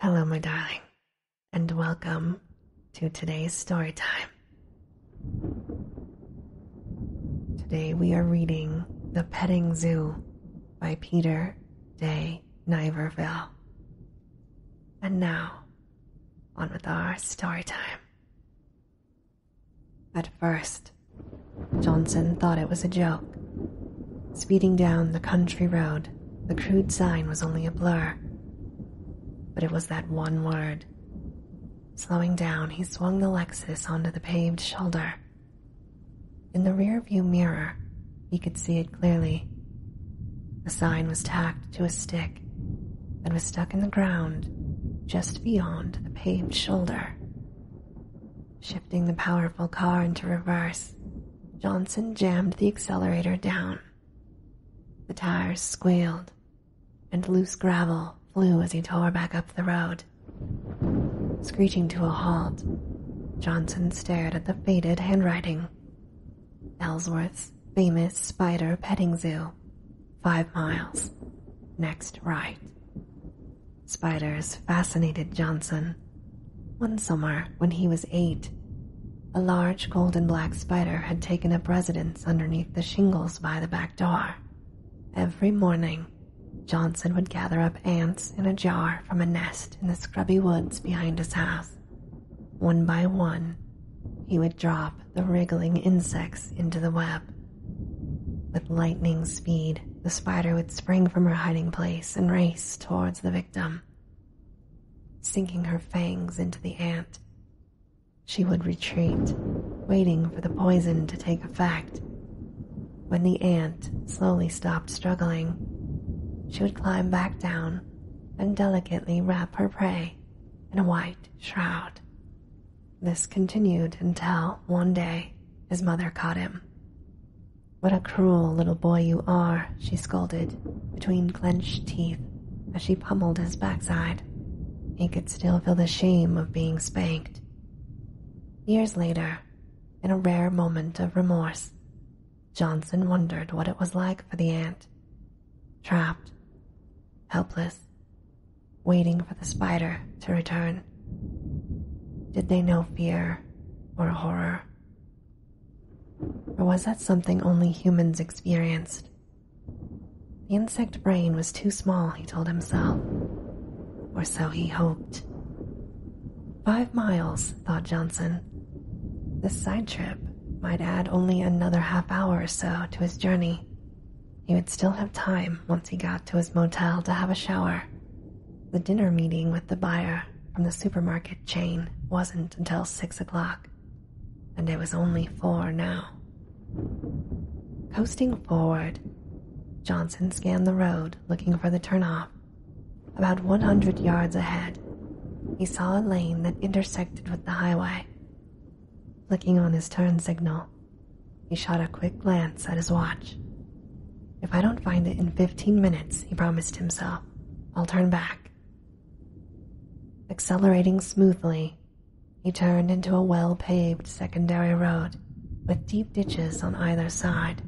Hello, my darling, and welcome to today's story time. Today we are reading The Petting Zoo by Peter Day Niverville. And now, on with our story time. At first, Johnson thought it was a joke. Speeding down the country road the crude sign was only a blur. But it was that one word. Slowing down, he swung the Lexus onto the paved shoulder. In the rearview mirror, he could see it clearly. The sign was tacked to a stick and was stuck in the ground just beyond the paved shoulder. Shifting the powerful car into reverse, Johnson jammed the accelerator down. The tires squealed, and loose gravel flew as he tore back up the road. Screeching to a halt, Johnson stared at the faded handwriting. Ellsworth's famous spider petting zoo, five miles, next right. Spiders fascinated Johnson one summer, when he was eight, a large golden black spider had taken up residence underneath the shingles by the back door. Every morning, Johnson would gather up ants in a jar from a nest in the scrubby woods behind his house. One by one, he would drop the wriggling insects into the web. With lightning speed, the spider would spring from her hiding place and race towards the victim. Sinking her fangs into the ant, she would retreat, waiting for the poison to take effect. When the ant slowly stopped struggling, she would climb back down and delicately wrap her prey in a white shroud. This continued until one day his mother caught him. What a cruel little boy you are, she scolded, between clenched teeth, as she pummeled his backside. He could still feel the shame of being spanked. Years later, in a rare moment of remorse, Johnson wondered what it was like for the ant. Trapped, helpless, waiting for the spider to return. Did they know fear or horror or was that something only humans experienced? The insect brain was too small, he told himself, or so he hoped. Five miles, thought Johnson. This side trip might add only another half hour or so to his journey. He would still have time once he got to his motel to have a shower the dinner meeting with the buyer from the supermarket chain wasn't until six o'clock, and it was only four now. Coasting forward, Johnson scanned the road looking for the turnoff. About 100 yards ahead, he saw a lane that intersected with the highway. Clicking on his turn signal, he shot a quick glance at his watch. If I don't find it in 15 minutes, he promised himself, I'll turn back. Accelerating smoothly, he turned into a well paved secondary road with deep ditches on either side.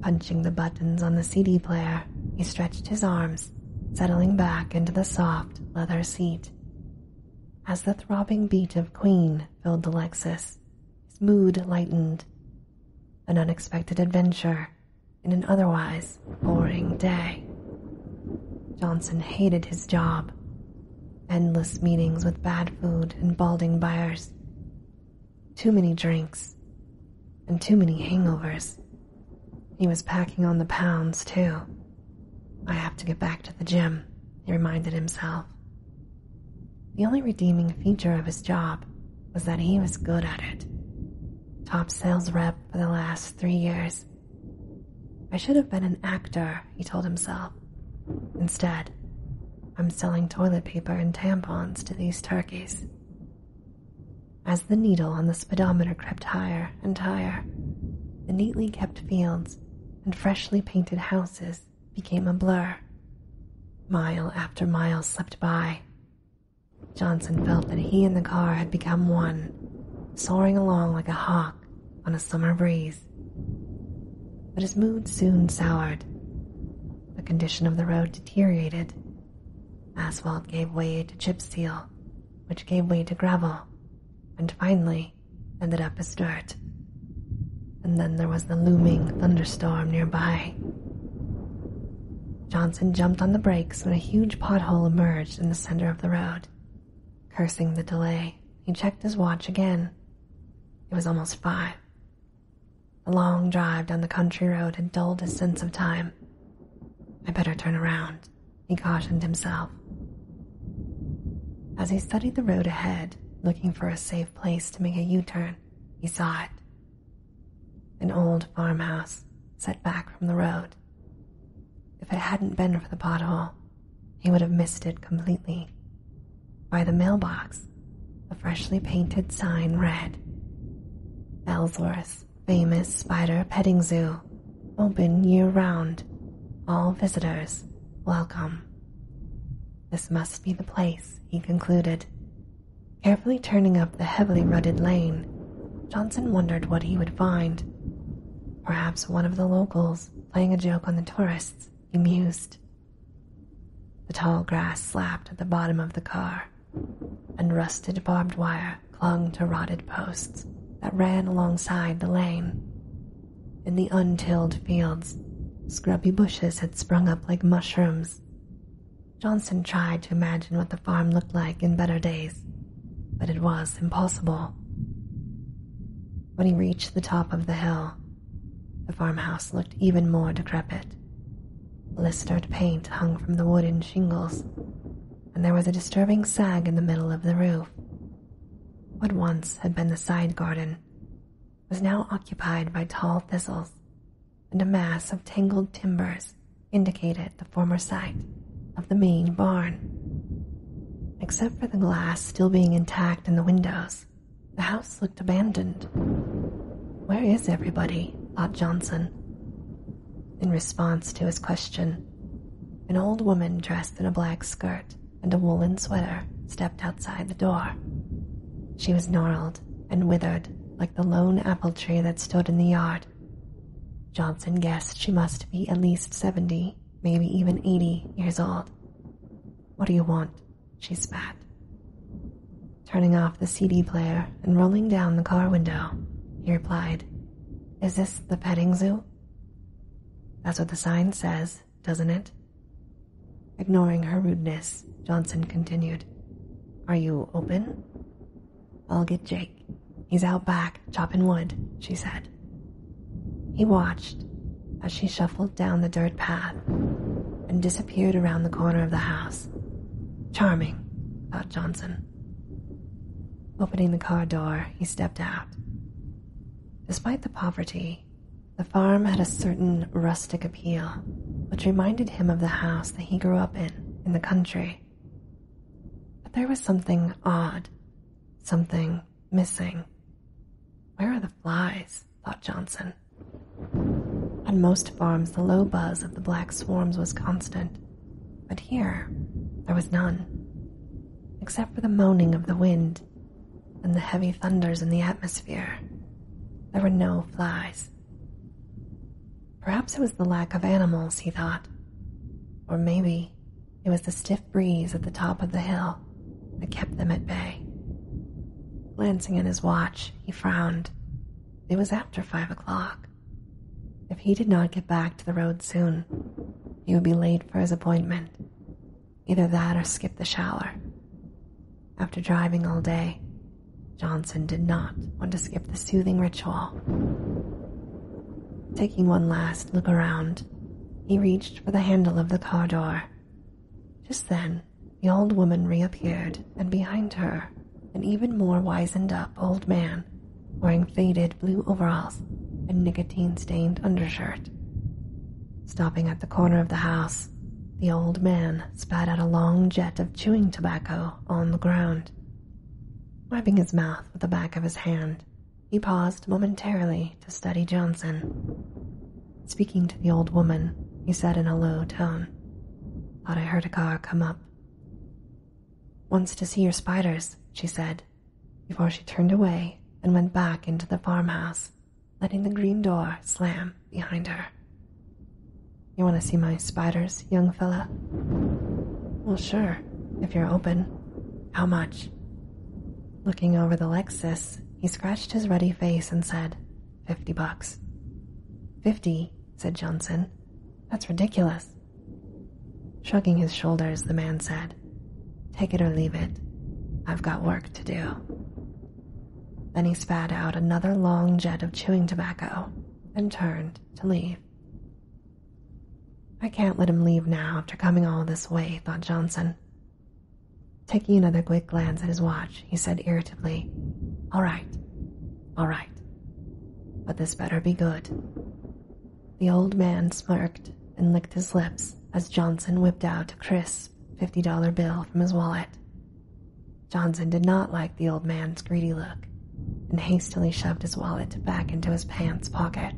Punching the buttons on the CD player, he stretched his arms, settling back into the soft leather seat. As the throbbing beat of Queen filled the Lexus, his mood lightened an unexpected adventure in an otherwise boring day. Johnson hated his job, endless meetings with bad food and balding buyers, too many drinks, and too many hangovers. He was packing on the pounds, too. I have to get back to the gym, he reminded himself, the only redeeming feature of his job was that he was good at it. Top sales rep for the last three years. I should have been an actor, he told himself. Instead, I'm selling toilet paper and tampons to these turkeys. As the needle on the speedometer crept higher and higher, the neatly kept fields and freshly painted houses became a blur. Mile after mile slipped by. Johnson felt that he and the car had become one, soaring along like a hawk on a summer breeze. But his mood soon soured. The condition of the road deteriorated. Asphalt gave way to chip seal, which gave way to gravel, and finally ended up as dirt and then there was the looming thunderstorm nearby. Johnson jumped on the brakes when a huge pothole emerged in the center of the road. Cursing the delay, he checked his watch again. It was almost five. The long drive down the country road had dulled his sense of time. I better turn around, he cautioned himself. As he studied the road ahead, looking for a safe place to make a U turn, he saw it an old farmhouse set back from the road. If it hadn't been for the pothole, he would have missed it completely. By the mailbox, a freshly painted sign read Ellsworth's famous spider petting zoo, open year round. All visitors welcome. This must be the place, he concluded, Carefully turning up the heavily rutted lane, Johnson wondered what he would find. Perhaps one of the locals playing a joke on the tourists, he The tall grass slapped at the bottom of the car, and rusted barbed wire clung to rotted posts that ran alongside the lane. In the untilled fields, scrubby bushes had sprung up like mushrooms, Johnson tried to imagine what the farm looked like in better days, but it was impossible. When he reached the top of the hill, the farmhouse looked even more decrepit. Blistered paint hung from the wooden shingles, and there was a disturbing sag in the middle of the roof. What once had been the side garden was now occupied by tall thistles and a mass of tangled timbers indicated the former site of the main barn. Except for the glass still being intact in the windows, the house looked abandoned. Where is everybody? thought Johnson. In response to his question, an old woman dressed in a black skirt and a woolen sweater stepped outside the door. She was gnarled and withered like the lone apple tree that stood in the yard. Johnson guessed she must be at least seventy, maybe even eighty years old. What do you want? she spat. Turning off the CD player and rolling down the car window, he replied, Is this the petting zoo? That's what the sign says, doesn't it? Ignoring her rudeness, Johnson continued, Are you open? I'll get Jake. He's out back chopping wood, she said. He watched as she shuffled down the dirt path and disappeared around the corner of the house. Charming, thought Johnson. Opening the car door, he stepped out. Despite the poverty, the farm had a certain rustic appeal, which reminded him of the house that he grew up in, in the country. But there was something odd, something missing. Where are the flies? thought Johnson. On most farms, the low buzz of the black swarms was constant, but here there was none, except for the moaning of the wind and the heavy thunders in the atmosphere there were no flies. Perhaps it was the lack of animals, he thought. Or maybe it was the stiff breeze at the top of the hill that kept them at bay. Glancing at his watch, he frowned. It was after five o'clock. If he did not get back to the road soon, he would be late for his appointment. Either that or skip the shower. After driving all day, Johnson did not want to skip the soothing ritual. Taking one last look around, he reached for the handle of the car door. Just then, the old woman reappeared, and behind her, an even more wizened up old man wearing faded blue overalls and nicotine stained undershirt. Stopping at the corner of the house, the old man spat out a long jet of chewing tobacco on the ground. Wiping his mouth with the back of his hand, he paused momentarily to study Johnson. Speaking to the old woman, he said in a low tone, Thought I heard a car come up. Wants to see your spiders, she said, before she turned away and went back into the farmhouse letting the green door slam behind her. You want to see my spiders, young fella? Well, sure, if you're open. How much? Looking over the Lexus, he scratched his ruddy face and said, Fifty bucks. Fifty, said Johnson. That's ridiculous. Shrugging his shoulders, the man said, Take it or leave it. I've got work to do. Then he spat out another long jet of chewing tobacco and turned to leave. I can't let him leave now after coming all this way, thought Johnson. Taking another quick glance at his watch, he said irritably, All right, all right, but this better be good. The old man smirked and licked his lips as Johnson whipped out Chris $50 bill from his wallet. Johnson did not like the old man's greedy look and hastily shoved his wallet back into his pants pocket.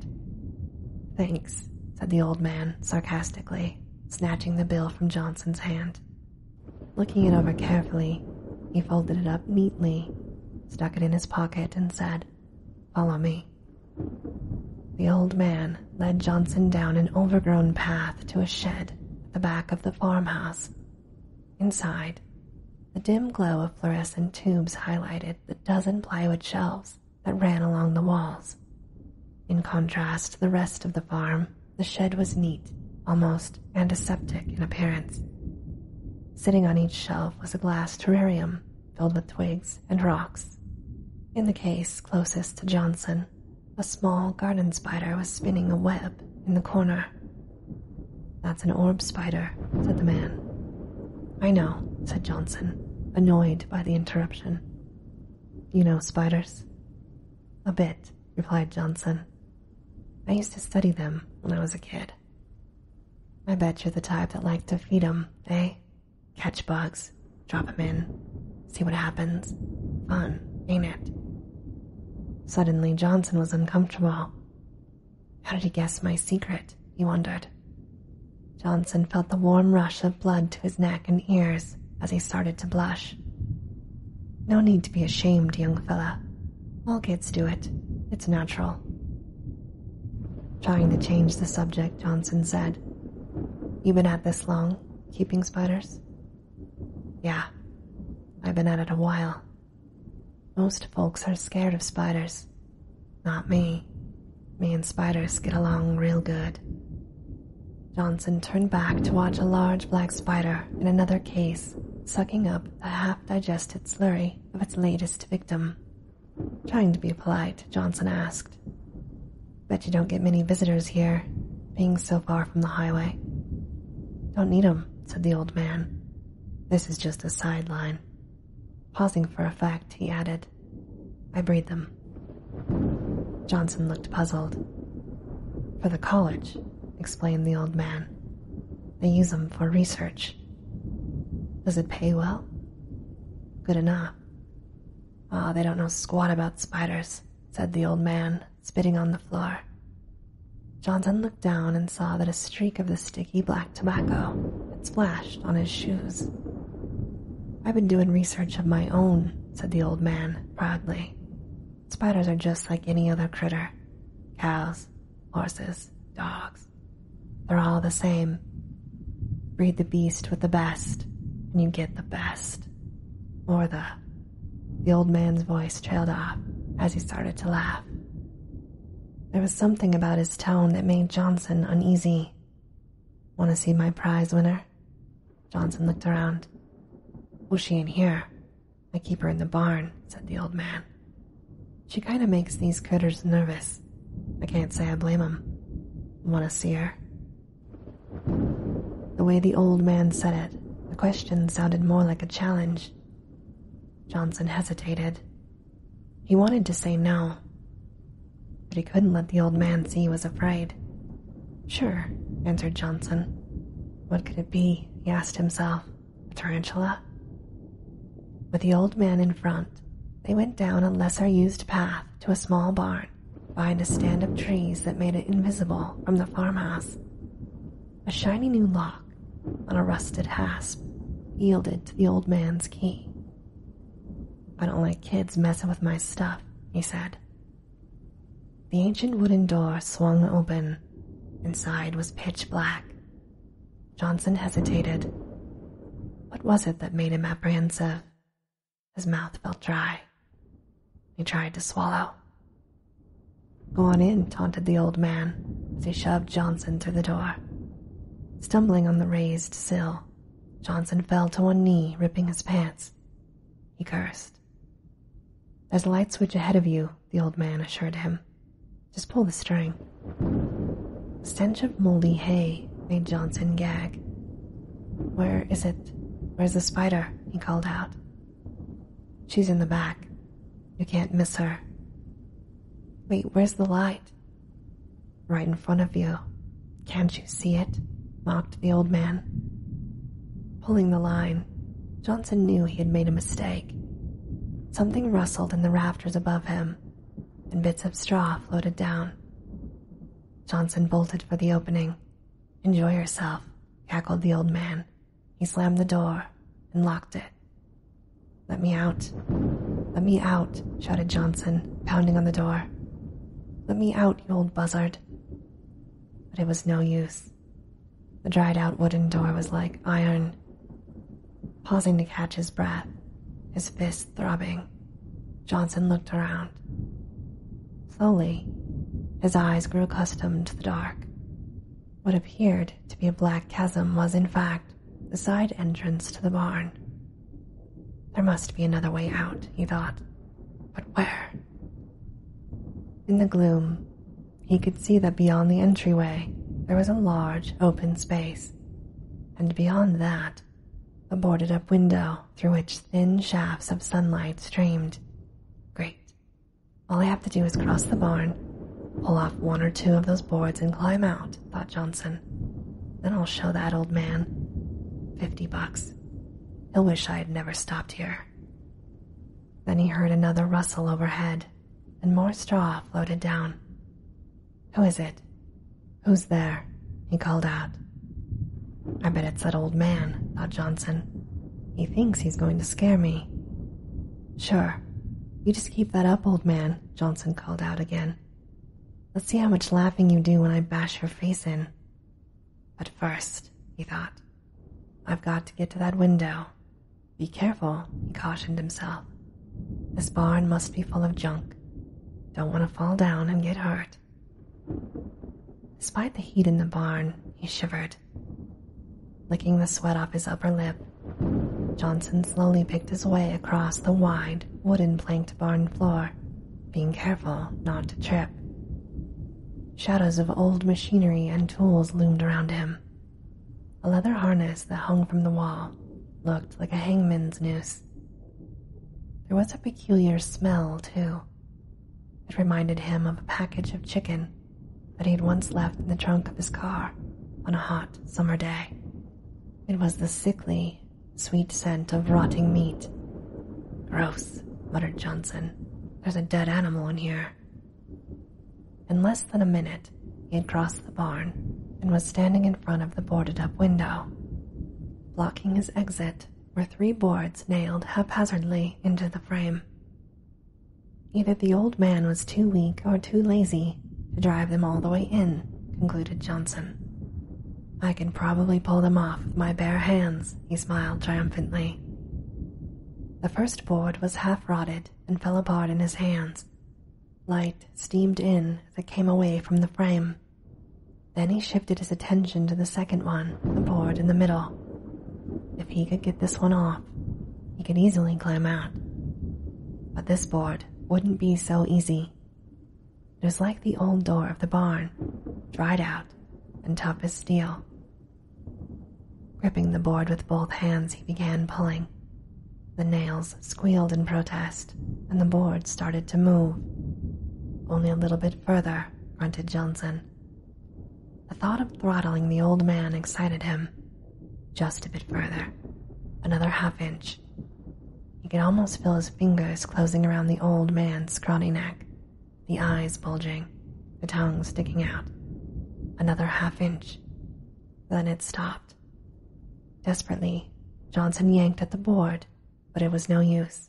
Thanks, said the old man sarcastically, snatching the bill from Johnson's hand. Looking it over carefully, he folded it up neatly, stuck it in his pocket, and said, Follow me. The old man led Johnson down an overgrown path to a shed at the back of the farmhouse. Inside, the dim glow of fluorescent tubes highlighted the dozen plywood shelves that ran along the walls. In contrast to the rest of the farm, the shed was neat, almost antiseptic in appearance. Sitting on each shelf was a glass terrarium filled with twigs and rocks. In the case closest to Johnson a small garden spider was spinning a web in the corner. That's an orb spider, said the man. I know, said Johnson, annoyed by the interruption. You know spiders? A bit, replied Johnson. I used to study them when I was a kid. I bet you're the type that liked to feed 'em, eh? Catch bugs, Drop 'em in, see what happens. Fun, ain't it? Suddenly, Johnson was uncomfortable. How did he guess my secret? He wondered. Johnson felt the warm rush of blood to his neck and ears as he started to blush. No need to be ashamed, young fella. All kids do it. It's natural. Trying to change the subject, Johnson said, You been at this long, keeping spiders? Yeah, I've been at it a while. Most folks are scared of spiders. Not me. Me and spiders get along real good. Johnson turned back to watch a large black spider in another case sucking up the half digested slurry of its latest victim. Trying to be polite, Johnson asked, Bet you don't get many visitors here, being so far from the highway. Don't need 'em," said the old man. This is just a sideline. Pausing for effect, he added, I breed them. Johnson looked puzzled. For the college, explained the old man. They use 'em for research. Does it pay well? Good enough. Ah, they don't know squat about spiders said the old man, spitting on the floor. Johnson looked down and saw that a streak of the sticky black tobacco had splashed on his shoes. I've been doing research of my own, said the old man proudly. Spiders are just like any other critter cows, horses, dogs. They're all the same. Breed the beast with the best, and you get the best. Mortha. The old man's voice trailed off as he started to laugh. There was something about his tone that made Johnson uneasy. Want to see my prize winner? Johnson looked around. Who's she in here? I keep her in the barn, said the old man. She kind of makes these critters nervous. I can't say I blame 'em. Want to see her? The way the old man said it, the question sounded more like a challenge. Johnson hesitated. He wanted to say no, but he couldn't let the old man see he was afraid. Sure, answered Johnson. What could it be? he asked himself. A tarantula? With the old man in front, they went down a lesser used path to a small barn behind a stand of trees that made it invisible from the farmhouse. A shiny new lock on a rusted hasp yielded to the old man's key. I don't like kids messing with my stuff, he said. The ancient wooden door swung open. Inside was pitch black. Johnson hesitated. What was it that made him apprehensive? His mouth felt dry. He tried to swallow. Go on in, taunted the old man as he shoved Johnson through the door. Stumbling on the raised sill, Johnson fell to one knee, ripping his pants. He cursed. There's a light switch ahead of you, the old man assured him. Just pull the string. The stench of moldy hay made Johnson gag. Where is it? Where's the spider? he called out. She's in the back. You can't miss her. Wait, where's the light? Right in front of you. Can't you see it? mocked the old man. Pulling the line, Johnson knew he had made a mistake. Something rustled in the rafters above him, and bits of straw floated down. Johnson bolted for the opening, Enjoy yourself, cackled the old man. He slammed the door and locked it. Let me out. Let me out, shouted Johnson, pounding on the door. Let me out, you old buzzard. But it was no use. The dried out wooden door was like iron. Pausing to catch his breath, his fist throbbing, Johnson looked around. Slowly, his eyes grew accustomed to the dark. What appeared to be a black chasm was, in fact, the side entrance to the barn. There must be another way out, he thought, but where? In the gloom, he could see that beyond the entryway there was a large open space, and beyond that, a boarded up window through which thin shafts of sunlight streamed. Great. All I have to do is cross the barn, pull off one or two of those boards, and climb out, thought Johnson. Then I'll show that old man. Fifty bucks. He'll wish I had never stopped here. Then he heard another rustle overhead, and more straw floated down. Who is it? Who's there? he called out. I bet it's that old man, thought Johnson. He thinks he's going to scare me. Sure. You just keep that up, old man, Johnson called out again. Let's see how much laughing you do when I bash your face in. But first, he thought, I've got to get to that window. Be careful, he cautioned himself. This barn must be full of junk. Don't want to fall down and get hurt. Despite the heat in the barn, he shivered. Licking the sweat off his upper lip, Johnson slowly picked his way across the wide, wooden planked barn floor, being careful not to trip. Shadows of old machinery and tools loomed around him. A leather harness that hung from the wall looked like a hangman's noose. There was a peculiar smell, too, it reminded him of a package of chicken that he had once left in the trunk of his car on a hot summer day. It was the sickly, sweet scent of rotting meat. Gross, muttered Johnson. There's a dead animal in here. In less than a minute, he had crossed the barn and was standing in front of the boarded up window. Blocking his exit were three boards nailed haphazardly into the frame. Either the old man was too weak or too lazy to drive them all the way in, concluded Johnson. I can probably pull them off with my bare hands, he smiled triumphantly. The first board was half rotted and fell apart in his hands. Light steamed in as it came away from the frame, then he shifted his attention to the second one, the board in the middle. If he could get this one off, he could easily climb out. But this board wouldn't be so easy. It was like the old door of the barn, dried out and tough as steel. Gripping the board with both hands, he began pulling. The nails squealed in protest, and the board started to move. Only a little bit further, grunted Johnson. The thought of throttling the old man excited him. Just a bit further, another half inch. He could almost feel his fingers closing around the old man's scrawny neck, the eyes bulging, the tongue sticking out. Another half inch. Then it stopped. Desperately, Johnson yanked at the board, but it was no use.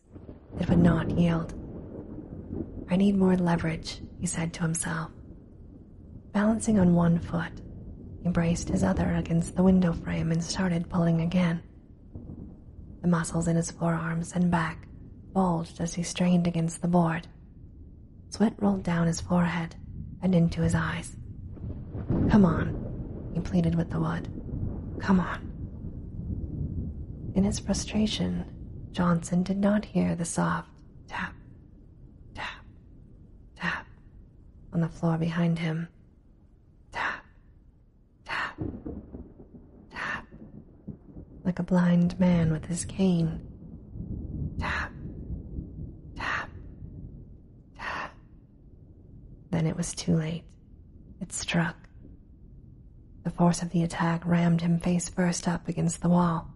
It would not yield. I need more leverage, he said to himself. Balancing on one foot, he braced his other against the window frame and started pulling again. The muscles in his forearms and back bulged as he strained against the board. Sweat rolled down his forehead and into his eyes. Come on, he pleaded with the wood. Come on. In his frustration, Johnson did not hear the soft tap, tap, tap on the floor behind him. Tap, tap, tap, like a blind man with his cane. Tap, tap, tap. Then it was too late. It struck. The force of the attack rammed him face first up against the wall,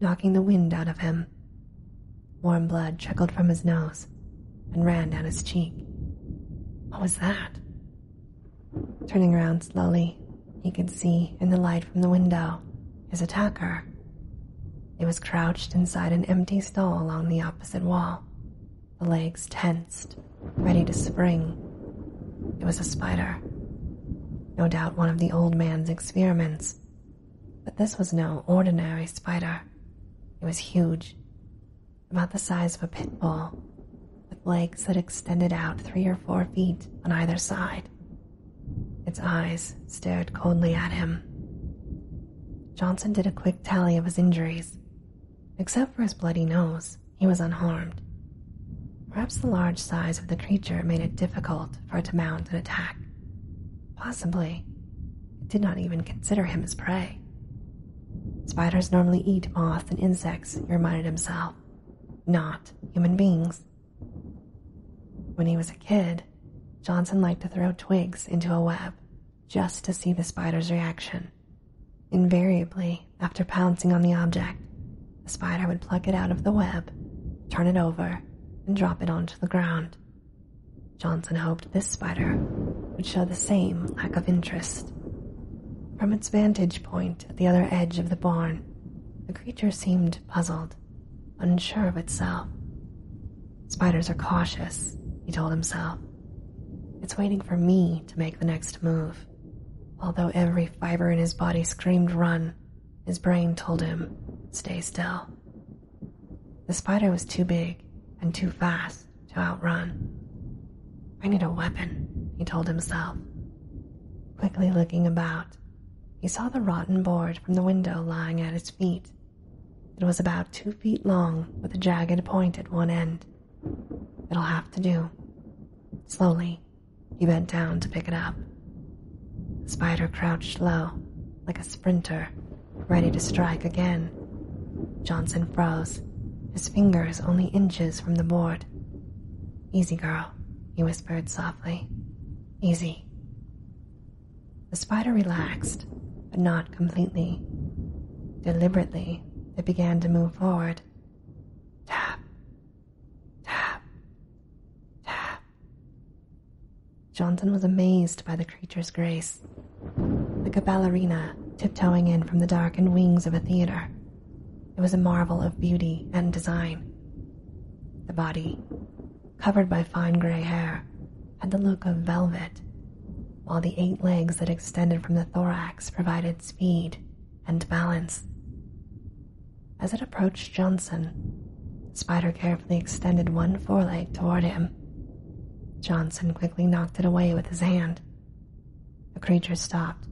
knocking the wind out of him. Warm blood trickled from his nose and ran down his cheek. What was that? Turning around slowly, he could see, in the light from the window, his attacker. He was crouched inside an empty stall along the opposite wall, the legs tensed, ready to spring. It was a spider. No doubt one of the old man's experiments. But this was no ordinary spider. It was huge, about the size of a pit bull, with legs that extended out three or four feet on either side. Its eyes stared coldly at him. Johnson did a quick tally of his injuries Except for his bloody nose, he was unharmed. Perhaps the large size of the creature made it difficult for it to mount an attack. Possibly, it did not even consider him as prey. Spiders normally eat moths and insects, he reminded himself, not human beings. When he was a kid, Johnson liked to throw twigs into a web just to see the spider's reaction. Invariably, after pouncing on the object, the spider would pluck it out of the web, turn it over, and drop it onto the ground. Johnson hoped this spider would show the same lack of interest. From its vantage point at the other edge of the barn, the creature seemed puzzled, unsure of itself. Spiders are cautious, he told himself. It's waiting for me to make the next move. Although every fiber in his body screamed, run, his brain told him, stay still. The spider was too big and too fast to outrun. I need a weapon, he told himself. Quickly looking about, he saw the rotten board from the window lying at his feet. It was about two feet long, with a jagged point at one end. It'll have to do. Slowly, he bent down to pick it up. The spider crouched low, like a sprinter, ready to strike again. Johnson froze, his fingers only inches from the board. Easy, girl, he whispered softly. Easy. The spider relaxed, but not completely. Deliberately, it began to move forward. Tap, tap, tap. Johnson was amazed by the creature's grace, the a tiptoeing in from the darkened wings of a theater. It was a marvel of beauty and design. The body, covered by fine gray hair, had the look of velvet, while the eight legs that extended from the thorax provided speed and balance. As it approached Johnson, Spider carefully extended one foreleg toward him. Johnson quickly knocked it away with his hand. The creature stopped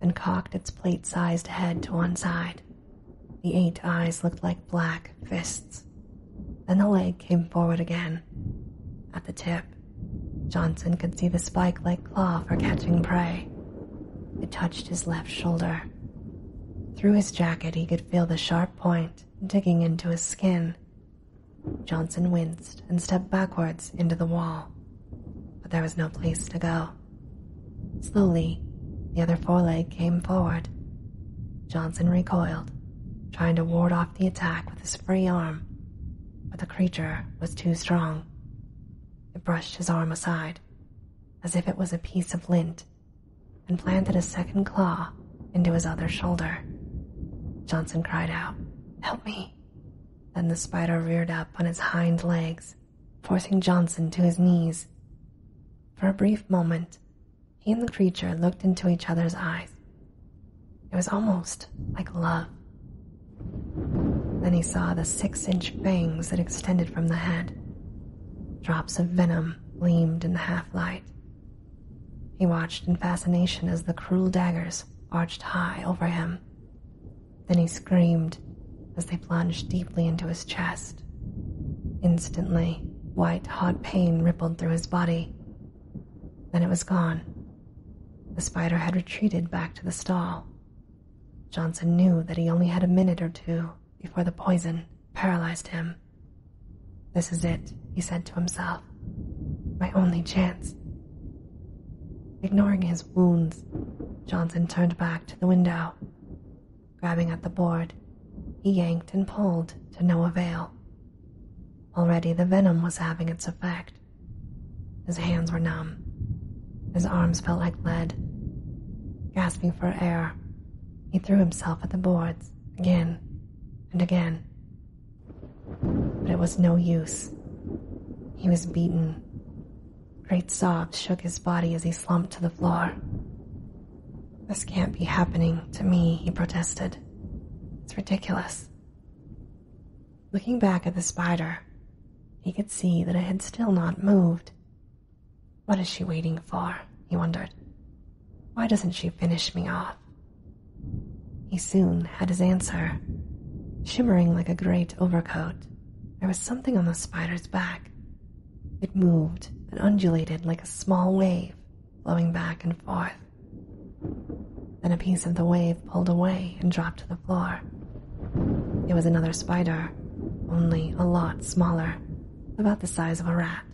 and cocked its plate sized head to one side. The eight eyes looked like black fists. Then the leg came forward again at the tip, Johnson could see the spike like claw for catching prey. It touched his left shoulder. Through his jacket, he could feel the sharp point digging into his skin. Johnson winced and stepped backwards into the wall, but there was no place to go. Slowly, the other foreleg came forward. Johnson recoiled, trying to ward off the attack with his free arm, but the creature was too strong. It brushed his arm aside, as if it was a piece of lint, and planted a second claw into his other shoulder. Johnson cried out, Help me! Then the spider reared up on its hind legs, forcing Johnson to his knees. For a brief moment, he and the creature looked into each other's eyes it was almost like love. Then he saw the six inch fangs that extended from the head. Drops of venom gleamed in the half light. He watched in fascination as the cruel daggers arched high over him. Then he screamed as they plunged deeply into his chest. Instantly, white hot pain rippled through his body. Then it was gone, the spider had retreated back to the stall. Johnson knew that he only had a minute or two before the poison paralyzed him. This is it, he said to himself. My only chance. Ignoring his wounds, Johnson turned back to the window. Grabbing at the board, he yanked and pulled to no avail. Already the venom was having its effect. His hands were numb. His arms felt like lead. Gasping for air, he threw himself at the boards again and again. But it was no use. He was beaten. Great sobs shook his body as he slumped to the floor. This can't be happening to me, he protested. It's ridiculous. Looking back at the spider, he could see that it had still not moved. What is she waiting for? he wondered. Why doesn't she finish me off? He soon had his answer. Shimmering like a great overcoat, there was something on the spider's back. It moved and undulated like a small wave, flowing back and forth. Then a piece of the wave pulled away and dropped to the floor. It was another spider, only a lot smaller, about the size of a rat.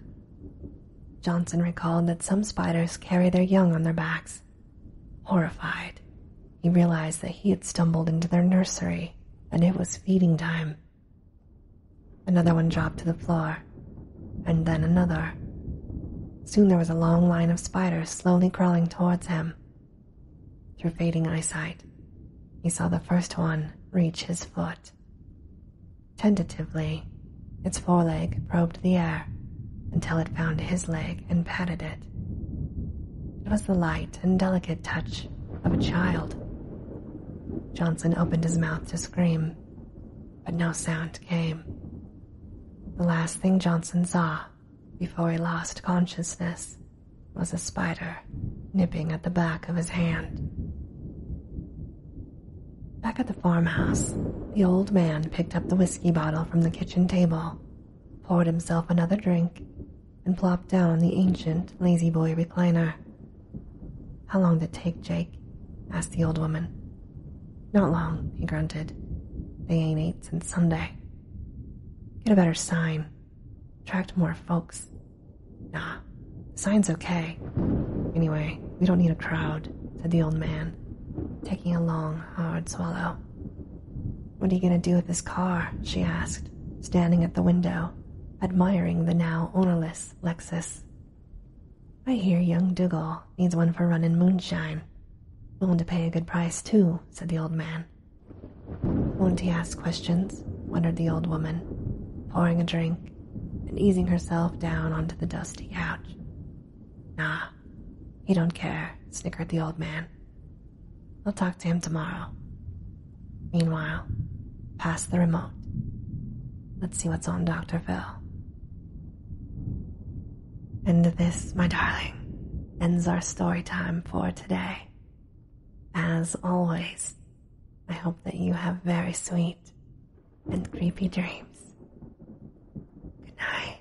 Johnson recalled that some spiders carry their young on their backs. Horrified, he realized that he had stumbled into their nursery and it was feeding time. Another one dropped to the floor, and then another. Soon there was a long line of spiders slowly crawling towards him. Through fading eyesight, he saw the first one reach his foot. Tentatively, its foreleg probed the air until it found his leg and patted it. It was the light and delicate touch of a child. Johnson opened his mouth to scream, but no sound came. The last thing Johnson saw before he lost consciousness was a spider nipping at the back of his hand. Back at the farmhouse, the old man picked up the whiskey bottle from the kitchen table, poured himself another drink, and plopped down on the ancient lazy boy recliner. How long did it take, Jake? asked the old woman. Not long, he grunted. They ain't ate since Sunday. Get a better sign. Attract more folks. Nah, the sign's okay. Anyway, we don't need a crowd, said the old man, taking a long, hard swallow. What are you going to do with this car? she asked, standing at the window, admiring the now ownerless Lexus. I hear young Dougal needs one for running moonshine. Willing to pay a good price, too, said the old man. Won't he ask questions? wondered the old woman, pouring a drink and easing herself down onto the dusty couch. Nah, he don't care, snickered the old man. I'll talk to him tomorrow. Meanwhile, pass the remote. Let's see what's on Dr. Phil. And this, my darling, ends our story time for today. As always, I hope that you have very sweet and creepy dreams. Good night.